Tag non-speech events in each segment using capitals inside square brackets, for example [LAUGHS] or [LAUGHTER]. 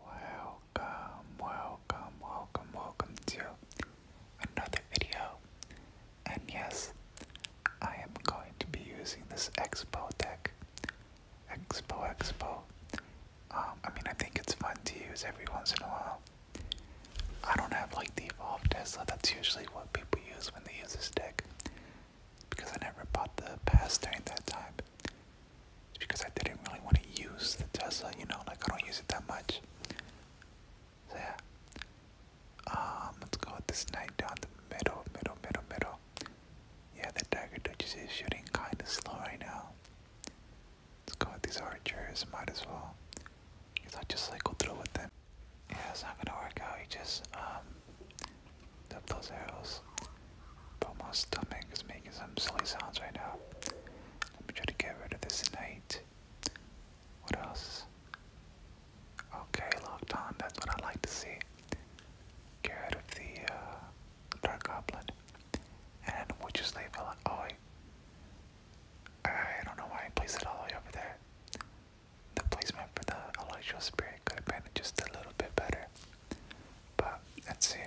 Welcome, welcome, welcome, welcome to another video. And yes, I am going to be using this Expo deck. Expo, Expo. Um, I mean, I think it's fun to use every once in a while. I don't have like the evolved Tesla. That's usually what people use when they use this deck, because I never bought the pass during that time because I didn't really want to use the Tesla, you know, like I don't use it that much. So yeah. Um, let's go this knight down the middle, middle, middle, middle. Yeah, the dagger duchess is shooting kind of slow right now. Let's go with these archers, might as well. Because I just like go through with them. Yeah, it's not gonna work out. You just um, up those arrows. But my stomach is making some silly sounds right now. Let me try to get rid of this night. What else? Okay, locked on. That's what I like to see. Get rid of the uh, Dark Goblin. And we'll just Oh, I don't know why I placed it all the way over there. The placement for the Electro Spirit could have been just a little bit better. But let's see.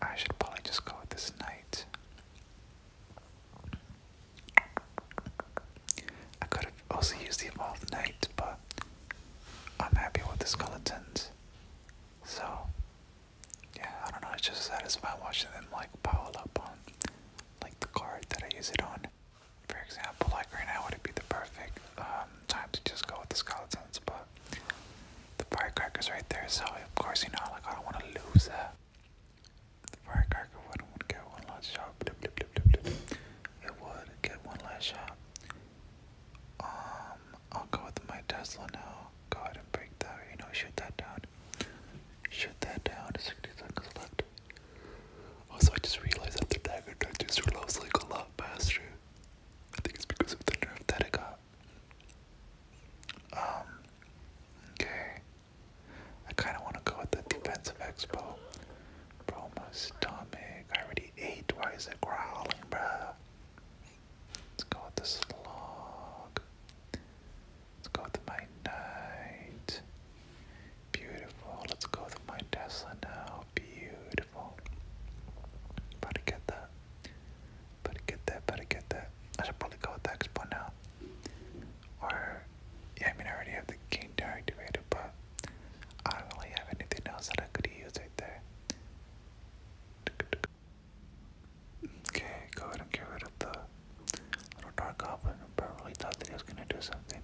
I should probably just go with this knight. I could have also used the evolved knight, but I'm happy with the skeletons. So, yeah, I don't know, it's just satisfying watching them like pile up on like the card that I use it on. For example, like right now would it be the perfect um, time to just go with the skeletons, but the firecrackers right there, so of course you know like I don't want to lose that. The firecracker wouldn't get one last shot. It would get one last shot. Um, I'll go with my Tesla now. Go ahead and break that. You know, shoot that down. Shoot that down. 60 seconds left. Also, I just realized that the dagger touches your love's like a lot faster. I think it's because of the nerve that it got. Um, okay. I kind of want to go with the defensive expo. Bro, my stomach. I already ate. Why is it growling, bruh? Let's go with the slog. Let's go with my knight. Beautiful. Let's go with my Tesla now. Beautiful. About to get that. Better get that, better get that. I should probably go with the Expo now. Or, yeah, I mean, I already have the game tower but I don't really have anything else that I could use right there. Okay, go ahead and get rid of the little dark goblin, but I really thought that he was gonna do something.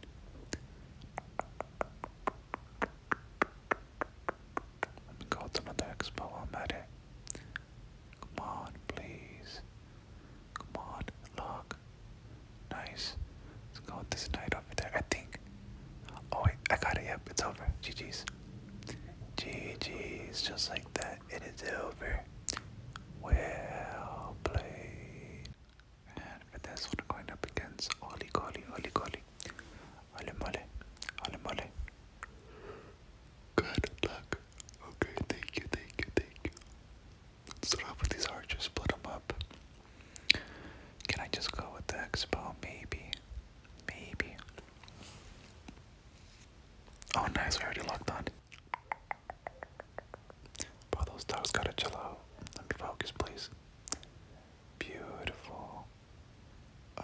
Let me go to another expo already. Come on, please. Come on, look. Nice. Let's go with this knight over there. I think. Oh wait, I got it. Yep, it's over. GG's. GG's, just like that. It is over. Well played. And for this one, going up against Oli Golly, Oli Golly. Holy moly. Holy moly. Good luck. Okay, thank you, thank you, thank you. Start off these archers, split them up. Can I just go with the expo? Maybe. Maybe. Oh, nice, we already locked on. All those dogs gotta chill out. Let me focus, please. Beautiful. Uh,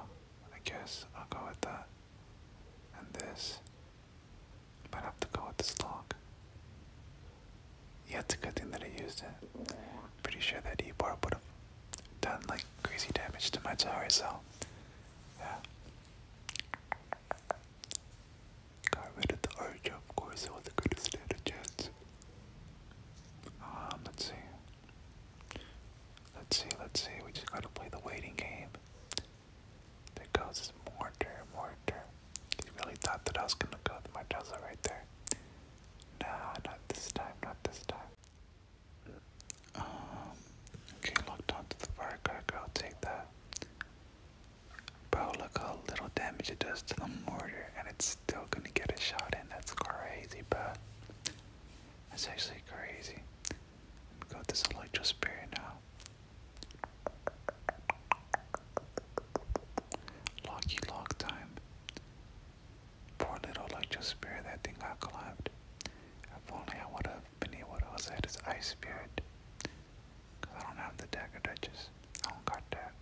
I guess I'll go with that. And this. Might have to go with this lock. Yeah, it's a good thing that I used it. Pretty sure that E-Bar would have done like crazy damage to my tower, so yeah. Got rid the archer, of course, it was a good standard chance. Um, let's see. Let's see, let's see. We just gotta play the waiting game. There goes his mortar, mortar. He really thought that I was gonna go with my Tesla right there. Nah, not this time, not this time. Um, okay, locked onto the firecracker, take that. Bro, look how little damage it does to the mortar, and it's still gonna get a shot in. That's crazy, bro. That's actually crazy. Let me go with this Electrosphere now. Locky lock time. Poor little Electrosphere, that thing got collapsed. If only I would have been able to possess his Ice Spirit. Because I don't have the Dagger Duchess. I don't got that.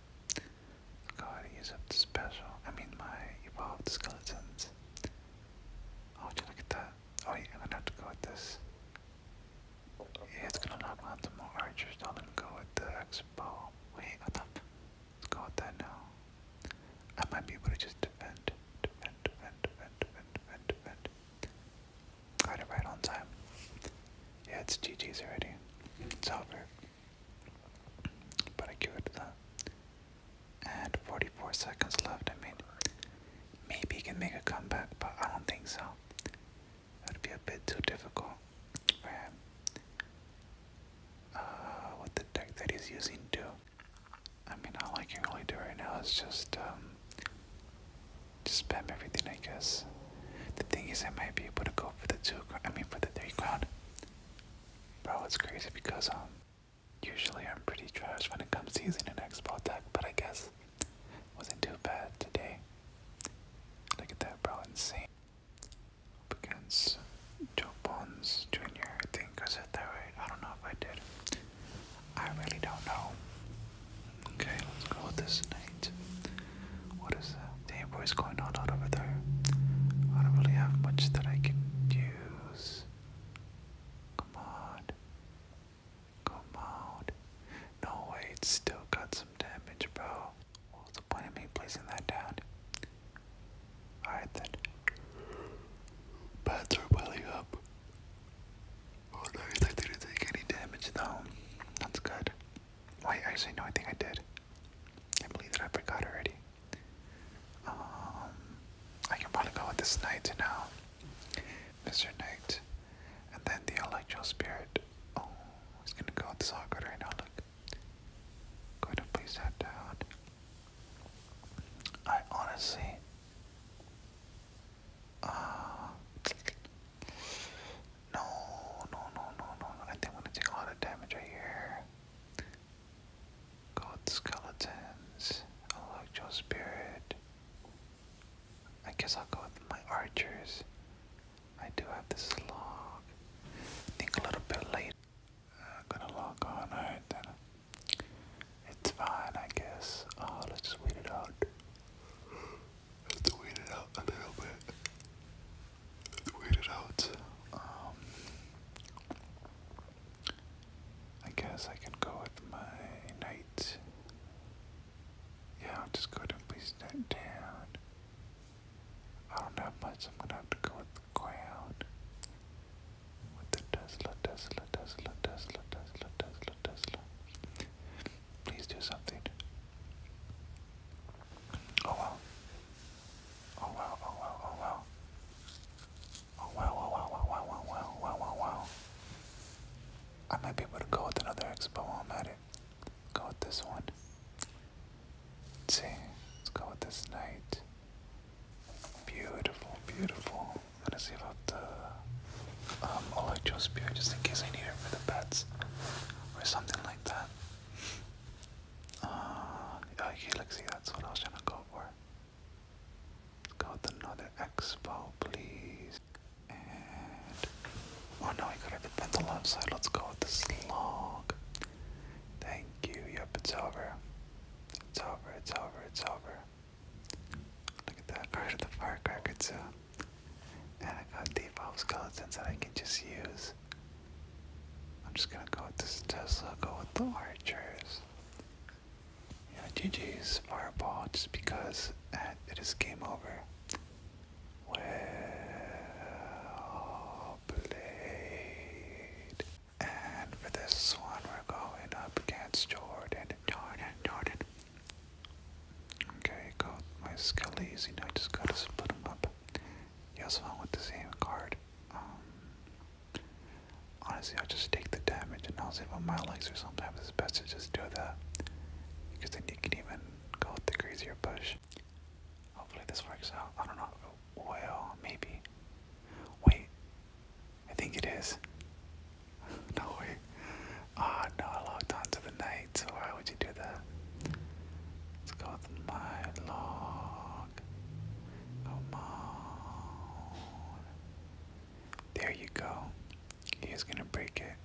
Go ahead up the special. I mean, my evolved skeletons. Oh, did you look at that? Oh, yeah, i gonna have to go with this. Yeah, it's gonna knock out more archers. Now let me go with the x Wait, hold Let's go with that now. I might be able to just defend, defend, defend, defend, defend, defend, defend. Got it right on time. Yeah, it's GG's already. It's over. But I give it to that and 44 seconds left. I mean, maybe he can make a comeback, but I don't think so. That would be a bit too difficult for Uh, what the deck that he's using do? I mean, all I can really do right now is just um, just spam everything, I guess. The thing is, I might be able to go for the two. I mean, for the three crown. Bro, it's crazy because um, Usually I'm pretty trash when it comes to using an expo deck, but I guess it wasn't too bad today. Look at that, bro, insane. Up against Joe Bones Jr., I think. I said that right. I don't know if I did. I really don't know. Okay, let's go with this knight. What is that? boys going on out over there. I don't really have much that I can use. Come on. Come on. No way, it's still got some damage, bro. What's the point of me placing that down? Alright then. Bats are welling up. Oh nice, I didn't take any damage though. That's good. Wait, actually no, I think I did. I believe that I forgot already. Um, I can probably go with this knight now, Mr. Knight, and then the Electro Spirit. Oh, he's gonna go with the Socket right now. Look, go ahead and place down. I honestly, uh, no, no, no, no, no. I think I'm gonna take a lot of damage right here. Got skeletons. I like your spirit. I guess I'll go with my archers. I do have this log. think a little bit late. I'm gonna log on. Alright It's fine, I guess. Oh, let's just wait it out. Let's wait it out a little bit. Let's wait it out. Um, I guess I can go with my night. Yeah, I'll just go to and place down. I don't have much, I'm gonna have to go with the crown. With the Tesla, Tesla, Tesla, Tesla, Tesla, Tesla, Tesla. Please do something. Oh wow. Oh wow, oh wow, oh wow. Oh, wow wow wow wow wow wow wow wow wow wow. I might be able to go with another expo while I'm at it. Go with this one. Let's see. Let's go with this night. Beautiful, beautiful. I'm gonna see about the um electro spear just in case I need it for the pets. Or something like that. Uh oh, helixy, that's what I was trying to go for. Got another expo, please. And oh no, I could have a pencil outside. Let's go with this log. Thank you. Yep, it's over. It's over. It's over. It's over. Look at that. Part the firecracker too. Uh, and I got default skeletons that I can just use. I'm just gonna go with this Tesla. Go with the archers. Yeah, GG's fireball just because it is game over. Well played. And for this one, we're going up against Jordan. Jordan, Jordan. Okay, go my skellies. You know, I just gotta split them up. He also went with the same card. Um, Honestly, I'll just take the damage and I'll save on my legs, or sometimes it's best to just do that. Because then you can even go with the crazier push. Hopefully, this works out. I don't know. Well, maybe. Wait. I think it is. [LAUGHS] no way. Ah, no, I logged on the night, why would you do that? Let's go with my log. Come on. Oh, there you go. He's gonna break it.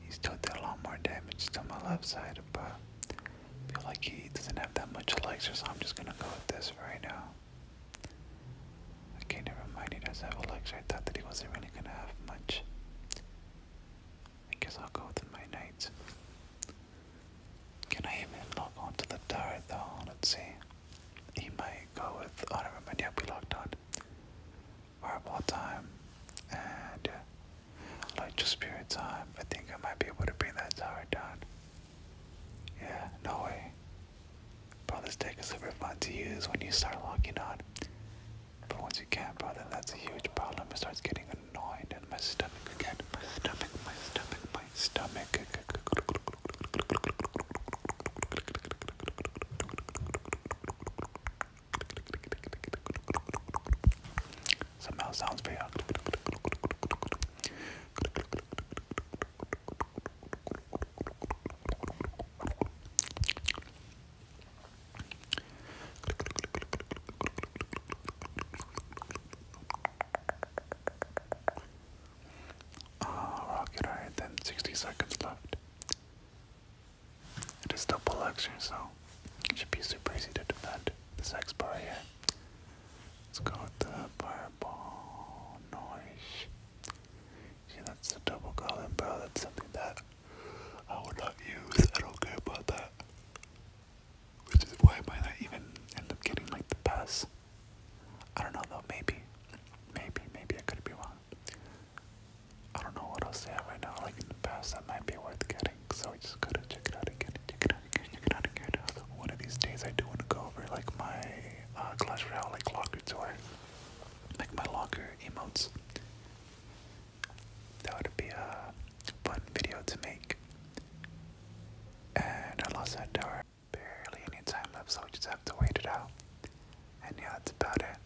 He's still did a lot more damage to my left side, but I feel like he doesn't have that much elixir, so I'm just gonna go with this right now. Okay, never mind, he does not have elixir. I thought that he wasn't really gonna have much. I guess I'll go with my knights. Can I even log on to the tower though? Let's see. He might go with oh never mind, yeah, we locked on. Horrible time. And uh, Electric Spirit time. I think I might be able to bring that tower down. Yeah, no way. Brother's this deck is super fun to use when you start logging on. But once you can't, brother, that's a huge problem. It starts getting annoying and my stomach again. My stomach, my stomach, my stomach Somehow sounds very odd. Uh, rocket iron, then 60 seconds left. It is double action, so it should be super easy to defend this X bar here. Let's go with the fireball noise. Yeah, that's the double golden barrel. That's something that I would not use. I don't care about that. Which is why I might not even end up getting like the pass. I don't know though, maybe. Maybe, maybe I could be wrong. I don't know what else they have right now, like in the past that might be worth getting. So I just gotta check it out again, check it out again, check it out again. One of these days I do wanna go over like my uh Clash Royale like locker tour. Like my locker emotes. That would be a fun video to make. And I lost that tower barely any time left, so we just have to wait it out. And yeah, that's about it.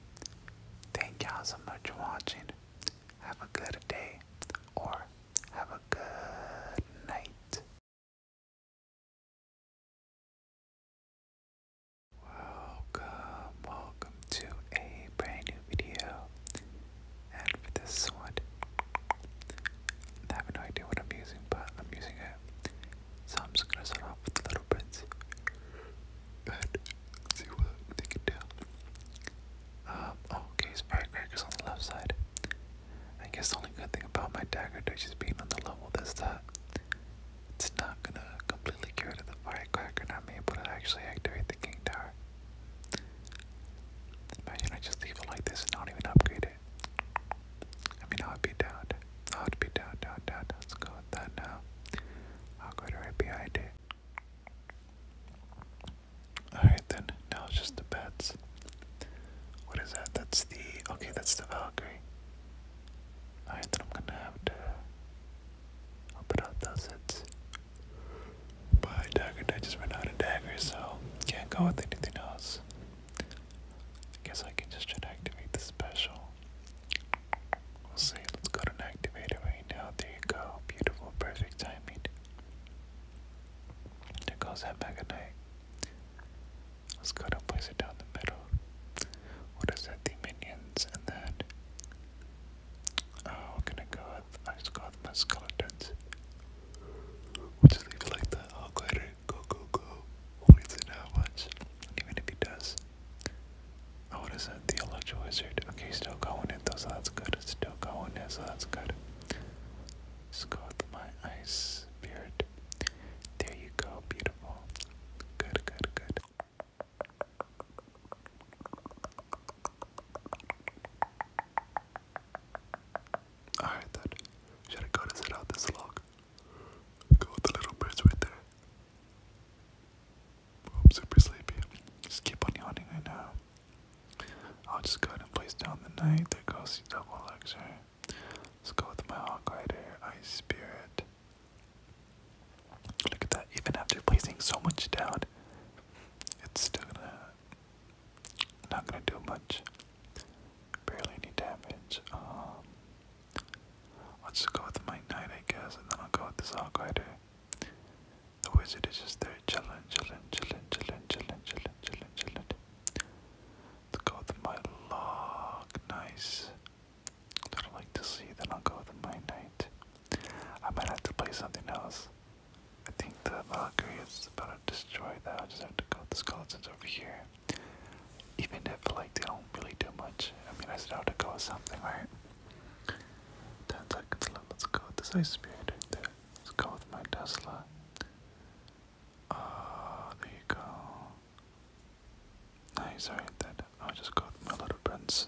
Thank y'all so much for watching. Have a good day, or have a good night. Welcome, welcome to a brand new video. And for this one, I have no idea what I'm using, but I'm using it. So I'm just gonna start off with the little prints and see what they can do. Um, oh, okay, firecrackers on the left side. I guess the only good thing about my dagger is being on the level is that it's not gonna completely get rid of the firecracker, and I'm able to actually activate the king tower. Imagine I just leave it like this not even upgrade Dad. I mean, I'll be Dad. I'll be Dad, Dad, Dad. Let's go with that now. I'll go to right behind it. Alright then, now it's just the bats. What is that? That's the. Okay, that's the Valkyrie. Alright, then I'm gonna have to. I'll put out those hits. But dagger, I just ran out of daggers, so can't go with anything else. I guess I can just try to activate the special. see. Let's go to an activator right now. There you go. Beautiful, perfect timing. There goes that Mega Let's go to place it down the middle. What is that? The minions and then Oh, we're gonna go with I just skeletons. we just leave it like that. I'll glitter go, go, go. Please do not watch. Even if he does. Oh, what is that? The Electro Wizard. Okay, still going it though, so that's good. Still going it, so that's good. Just go with my ice beard. There you go, beautiful. Good, good, good. Alright then. Should I go to sit out this log? Go with the little birds right there. Oh, I'm super sleepy. Just keep on yawning right now. I'll just go ahead and place down the night. There goes the double lecture. Let's go with my hawk rider, ice spirit. Look at that, even after placing so much down, it's still gonna not gonna do much. Barely any damage. Um, let's go with my knight, I guess, and then I'll go with the Zoglider. The wizard is just there chilling, chilling, chilling, chilling, chilling, chilling, chilling, chilling. let go with my log. Nice. I do like to see, then I'll go with my knight. I might have to play something else. I think the Valkyrie is better destroy that, i just have to go with the skeletons over here. Even if, like, they don't really do much, I mean, I still have to go with something, right? Ten seconds left, let's go with this ice spear right there. Let's go with my Tesla. Oh, there you go. Nice, alright then. I'll just go with my little prince.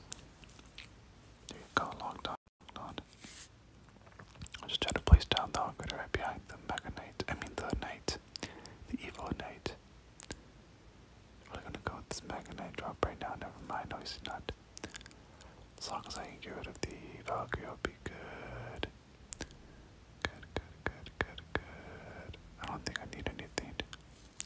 There you go, long time, just trying to place down the Hawk right behind the Mega Knight. I mean, the Knight. The Evil Knight. We're gonna go with this Mega Knight drop right now. Never mind, obviously not. As long as I can get rid of the Valkyrie, I'll be good. Good, good, good, good, good. I don't think I need anything.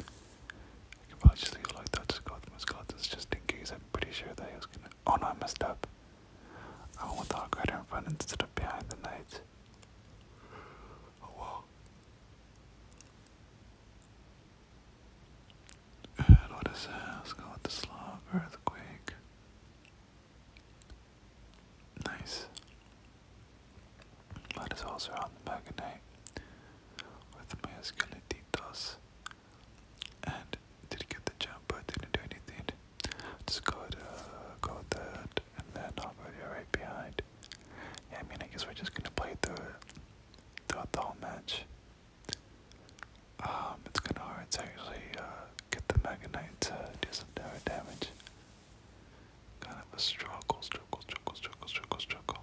I can probably just leave like that, just go with my skeletons just in case. I'm pretty sure that he was gonna. Oh no, I messed up. I want to walk right in front instead of behind the knight. Oh And what is that? go with the Slav Earthquake. Nice. Might as well the back night with my escalatitos. And did get the jump but didn't do anything? Just go to go that and then i right behind. Yeah, I mean I guess we're just gonna play through it the whole match. Um, it's kinda hard to actually uh, get the Mega to do some damage. Kind of a struggle, struggle, struggle, struggle, struggle, struggle.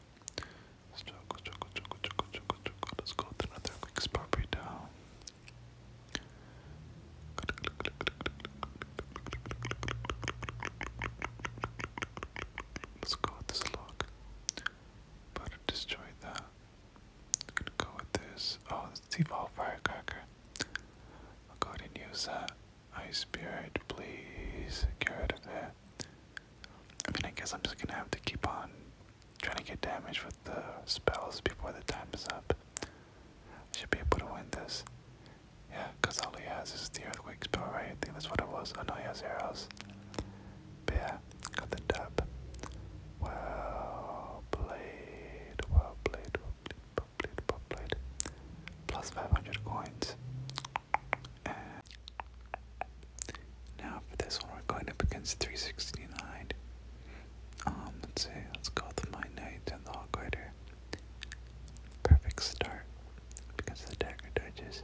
Struggle, struggle, struggle, struggle, struggle, struggle. Let's go with another quick spot down. Let's go with this log. But it I'm gonna Oh, it's evolved firecracker. I'll go ahead and use that. Ice spirit, please get rid of it. I mean, I guess I'm just gonna have to keep on trying to get damage for the spells before the time is up. I should be able to win this. Yeah, because all he has is the earthquakes spell, right? I think that's what it was. I oh, know he has arrows. But yeah, got the dub. Well played, well played, well played, well played, well played. Plus 500 coins. now for this one, we're going up against 369. Um, let's see, let's go with my knight and the hog rider. Perfect start because the dagger dodges.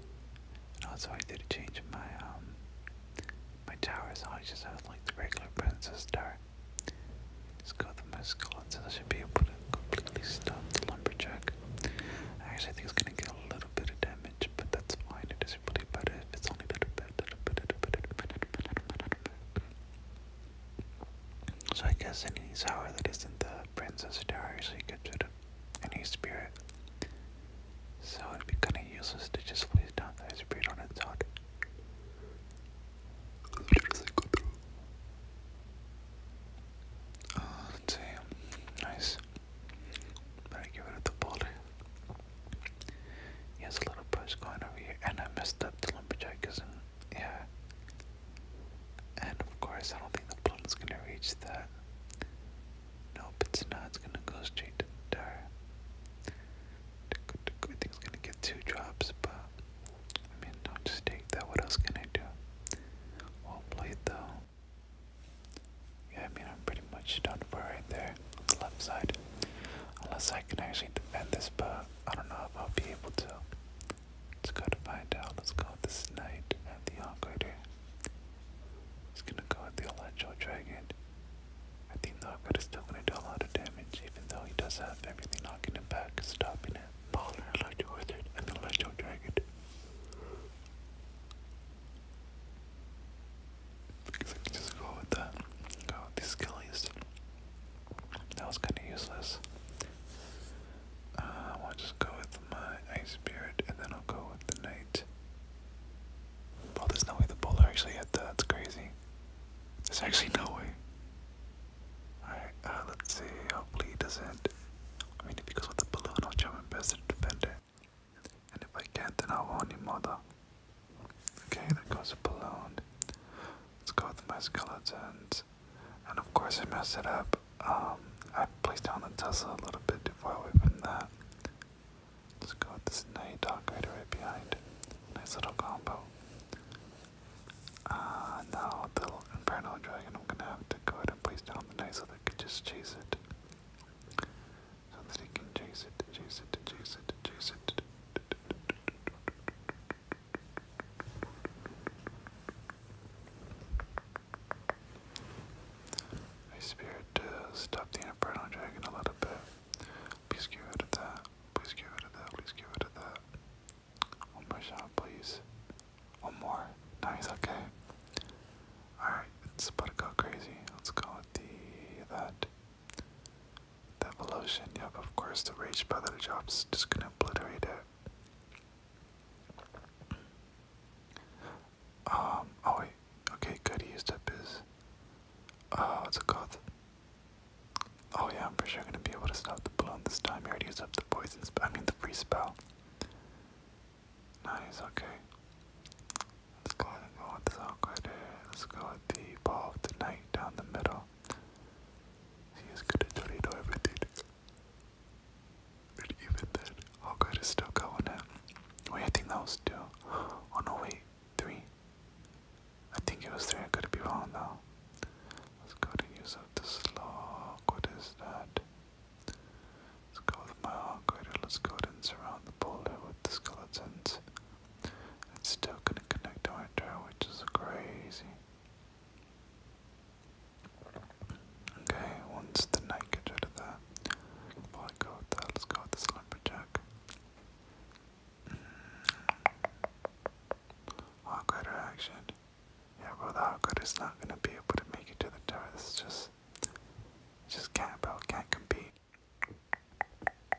And also I did change my um my tower so I just have like the regular princess tower. Let's go with my skeletons. I should be able to completely stop the lumberjack. Actually I think it's gonna get a little bit of damage, but that's fine. It doesn't really matter if it's only a little bit, little bit, little bit, little bit, little bit, little bit, little bit. So I guess any sour that isn't the Princess Tower usually gets rid of any spirit. So it'd be kinda useless to just place down the spirit on its own. Uh, ah, let Nice. Better get rid of the boulder. He has a little push going over here, and I messed up the lumberjack is yeah. And of course, I don't think the is gonna reach that. Nope, it's not. It's gonna go straight to the tower. I gonna get two drops, but I mean, don't just take that. What else can I do? Well played, though. Yeah, I mean, I'm pretty much done for right there on the left side. Unless I can actually defend this, but I don't know if I'll be able to. Let's go to find out. Let's go this knight at the Encrater. He's gonna go with the Electro Dragon. I think the Encrater's still gonna do a lot of damage, even though he does have everything knocking him back, stopping it. Baller, Electro Wizard, and the Electro Dragon. Because I can just go with that. Go with these skillies. That was kind of useless. Uh, I will just go with my Ice Spirit, and then I'll go with the Knight. Oh, there's no way the Bowler actually hit that. That's crazy. There's actually no way. Alright, uh, let's see. Hopefully he doesn't. I mean, if he goes with the Balloon, I'll try my best to defend it. And if I can't, then I'll own him, mother. Okay, that goes a balloon. Let's go with my skeleton, And of course, I messed it up. Um, I placed down the Tesla a little bit before we away that. Let's go with this night dog rider right behind. Nice little combo. Uh, now the Inferno Dragon, I'm gonna have to go ahead and place down the knight so they can just chase it. So that he can chase it, chase it, chase it, chase it. I spirit to stop the Inferno Dragon a little bit. Please get rid of that. Please get rid of that. Please get rid of that. One more shot, please. One more. Nice, okay. Alright, it's about to go crazy. Let's go with the that. The evolution, yep, of course, the rage by the job's just gonna obliterate it. Um, oh wait, okay, good, he used up his, Oh, what's it called? Oh yeah, I'm pretty sure i gonna be able to stop the balloon this time. He already used up the poison but I mean the free spell. Nice, okay. Let's go ahead and go with the uh, Let's go with the ball of the night down the middle. He is good at Tornado everything. And even then, how good is still going at? Wait, I think that was two. Oh no, wait, three. I think it was three, I could be wrong though. Let's go to use up the slog. What is that? Let's go with my operator. Let's go ahead and surround the boulder with the skeletons. It's still gonna connect to my drill, which is crazy. Okay, once the knight gets rid of that, before oh go with that, let's go with this lumberjack. Awkward mm. reaction. Yeah, bro, the awkward is not gonna be able to make it to the tower. This just, just can't, bro, can't compete.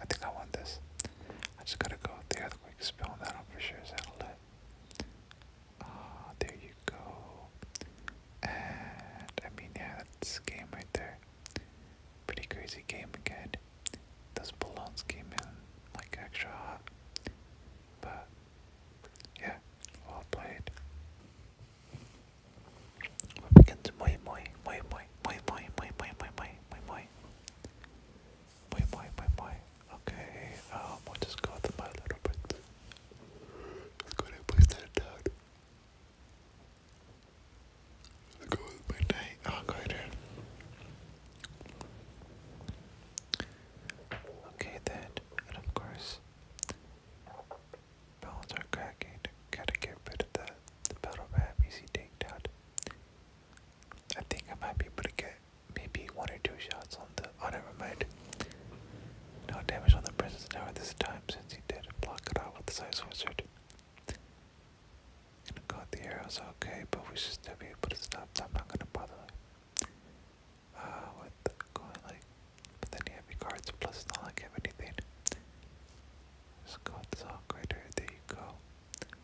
I think I want this. I just gotta go with the earthquake spell. That I'm for sure is outlet. Ah, uh, there you go. And I mean, yeah, that's game right there. Pretty crazy game again. Those balloons came in like extra hot, but yeah, well played. we begin to moi moi moi moi moi moi moi moi moi moi moi Wait, wait, wait, wait. Okay, um, we'll just go with my little bit. Let's go ahead and place that down. Let's go with my night. i oh, go ahead Okay then, and of course, bones are cracking. Gotta get rid of that. The battle map, easy takedown. I think I might be able to get maybe one or two shots on the. Oh, never mind. No damage on the Princess Tower this time since he did block it out with the Size Wizard. Gonna the arrows, okay, but we should still be able to stop them. I'm not gonna bother uh, with going like with any heavy cards, plus it's not have anything. Just go with the Greater, there you go.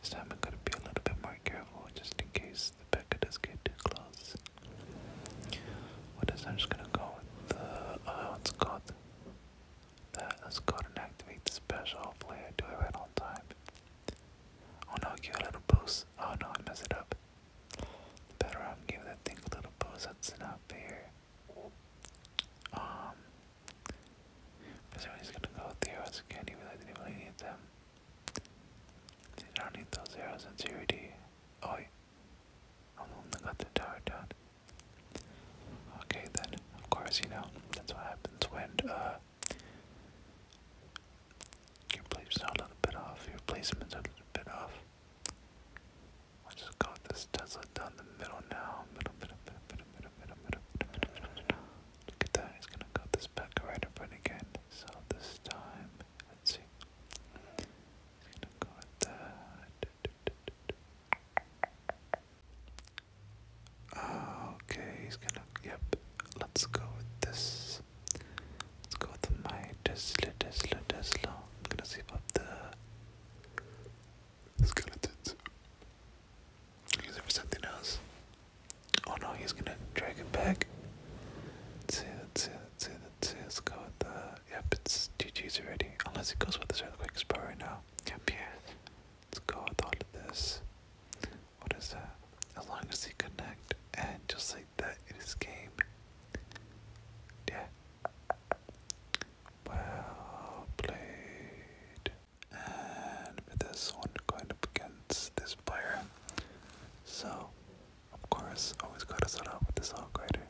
This time I'm gonna be a little bit more careful just in case the Becca does get too close. What is I'm just gonna go with the uh oh, let's go with that let's go and activate the special. Hopefully I do it right on time. Oh no, give it a little boost. Oh no, I messed it up. better I'm giving that thing a little boost, that's enough here. Um because he's gonna go with the arrows again, even though I didn't really need them. You don't need those arrows in three D. Oh, I'm only got the tower down. Okay then, of course, you know, that's what happens when, uh, your plates a little bit off, your placements a little bit off. i just go this Tesla down the middle now. Middle, middle, middle, middle, middle, middle, middle, middle, middle, middle, middle. Look at that, he's gonna cut this back right in front again. So this time, let's see. He's gonna go with that. Okay, he's gonna, yep. Let's go with this. Let's go with my Tesla, Tesla, Tesla. I'm gonna save up the skeletons. Is there something else? Oh no, he's gonna drag it back. Let's let's let's let's Let's go with the. Yep, it's GG's already. Unless it goes with this earthquake spell right now. Yep, yeah. Let's go with all of this. What is that? As long as he connect, and just like that, it is game. Yeah. Well played. And with this one going up against this player. So, of course, always gotta start out with this all grider.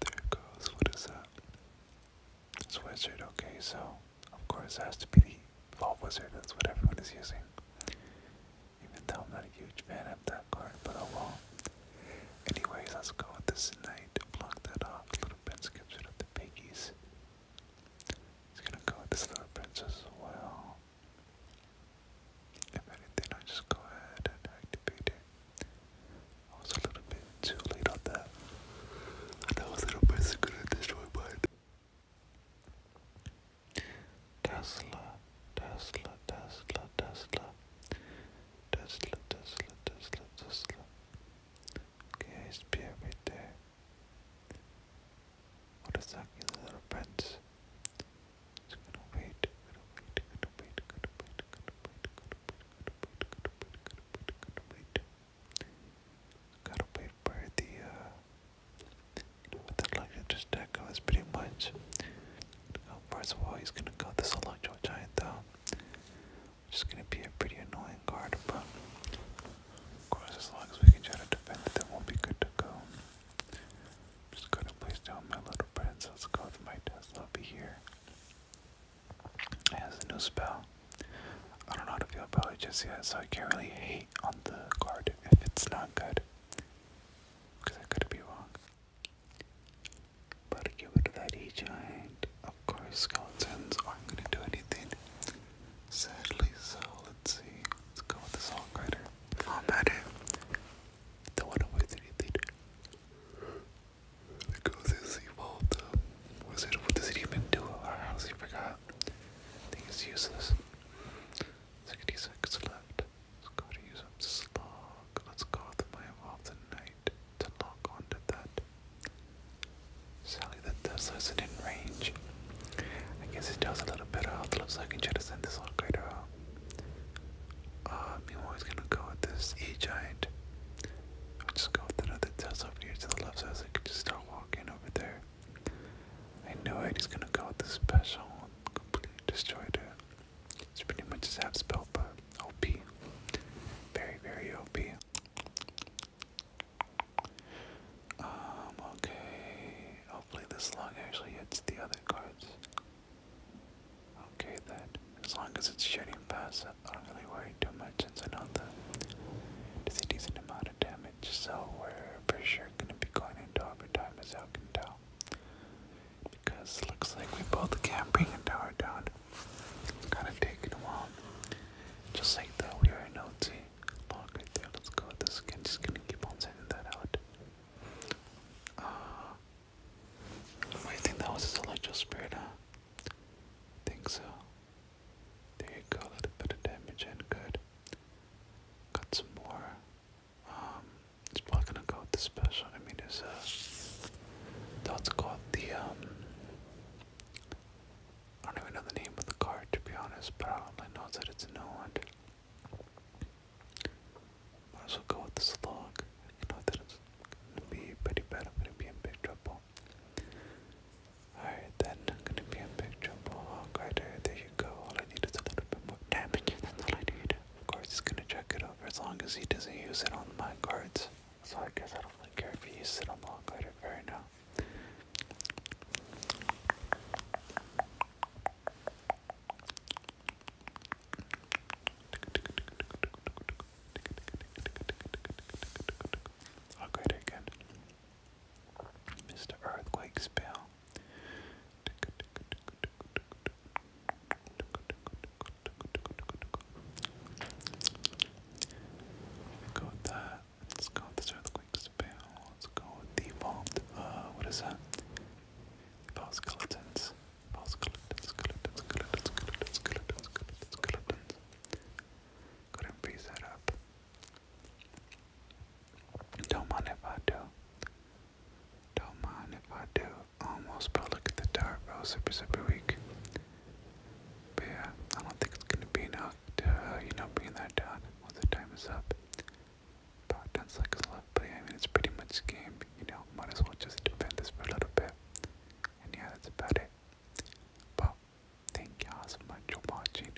There it goes, what is that? It's wizard, okay, so of course has to be the vault wizard, that's what everyone is using. Even though I'm not a huge fan of that card, but oh well. Anyways, let's go with this knight, block that off little bit, skips it the piggies. It's gonna go with this little princess as well. If anything, i just go ahead and activate it. I was a little bit too late on that. I little princess gonna destroy mine. Tesla, Tesla, Tesla, Tesla. Tesla, Tesla, Tesla, Tesla. Okay, spear right there. What is and the other It's gonna wait, gonna wait, gonna wait, gonna wait, gonna wait, gonna wait, gonna wait, gonna wait, gonna wait, gotta wait for the uh what that luxury stack goes pretty much. First of all he's gonna cut this electro giant down. Just gonna be a pretty annoying card, but of course as long as we can try to defend it, that won't be good to go. Just gonna place down my little prince. Let's go to my Tesla over here. It has a new spell. I don't know how to feel about it just yet, so I can't really hate on the card if it's not good. Because I could be wrong. But to get rid of that E giant. Of course, skeletons aren't gonna do anything. Sadly so. Let's see. Let's go with the songwriter. Not matter. The one who wasted later. The goes um, is evolved. Was it? What does it even do? I honestly forgot. think it's useless. 66 left. Let's go to use up slog. Let's go with my evolved tonight to lock onto that. Sally the Dazzler's within range. I guess it does a little better health looks like I can try to send this little crater out. Uh, meanwhile, he's gonna go with this E giant. i just go with another Tesla over here to the left so I can just start walking over there. I know it, he's gonna go with this special completely destroyed. It's pretty much his half spell, but OP. Very, very OP. Um, okay. Hopefully this log actually hits the other cards. Okay then. As long as it's shedding past I don't really worry too much since I know that it's a decent amount of damage, so we're for sure gonna be going into overtime as I can tell. Because looks like we both can't bring a tower down. kinda taking a while. Just like that we are no team log there. Let's go with this again. Just gonna keep on sending that out. Uh, I think that was his electro spirit, huh? think so. There you go, a little bit of damage and good. Got some more. Um, it's probably gonna go with the special. I mean, there's a. That's called the um. I don't even know the name of the card to be honest, but all I know that it's an Owen. Might as go with the slug. I know that it's gonna be pretty bad. I'm gonna be in big trouble. Alright, then I'm gonna be in big trouble. Hawkeye, oh, there, you go. All I need is a little bit more damage. That's all I need. Of course, he's gonna check it over as long as he doesn't use it on my cards. So I guess I don't care if he uses it on Hawkeye right now. I'll go to again. Mr. Earthquake spell. Got that. Let's go this earthquake spell. Let's go the vault. Uh, what is that? Vault skeletons. Vault skeletons, skeletons, skeletons, skeletons, skeletons, skeletons, skeletons. Go that up. Don't mind if I do. Don't mind if I do. Almost, but look at the dart, bro. Oh, super, super weak. But yeah, I don't think it's gonna be enough to, uh, you know, bring that down once the time is up. About 10 seconds left, but I mean, it's pretty much game, you know, might as well just defend this for a little bit. And yeah, that's about it. But, thank you so much for watching.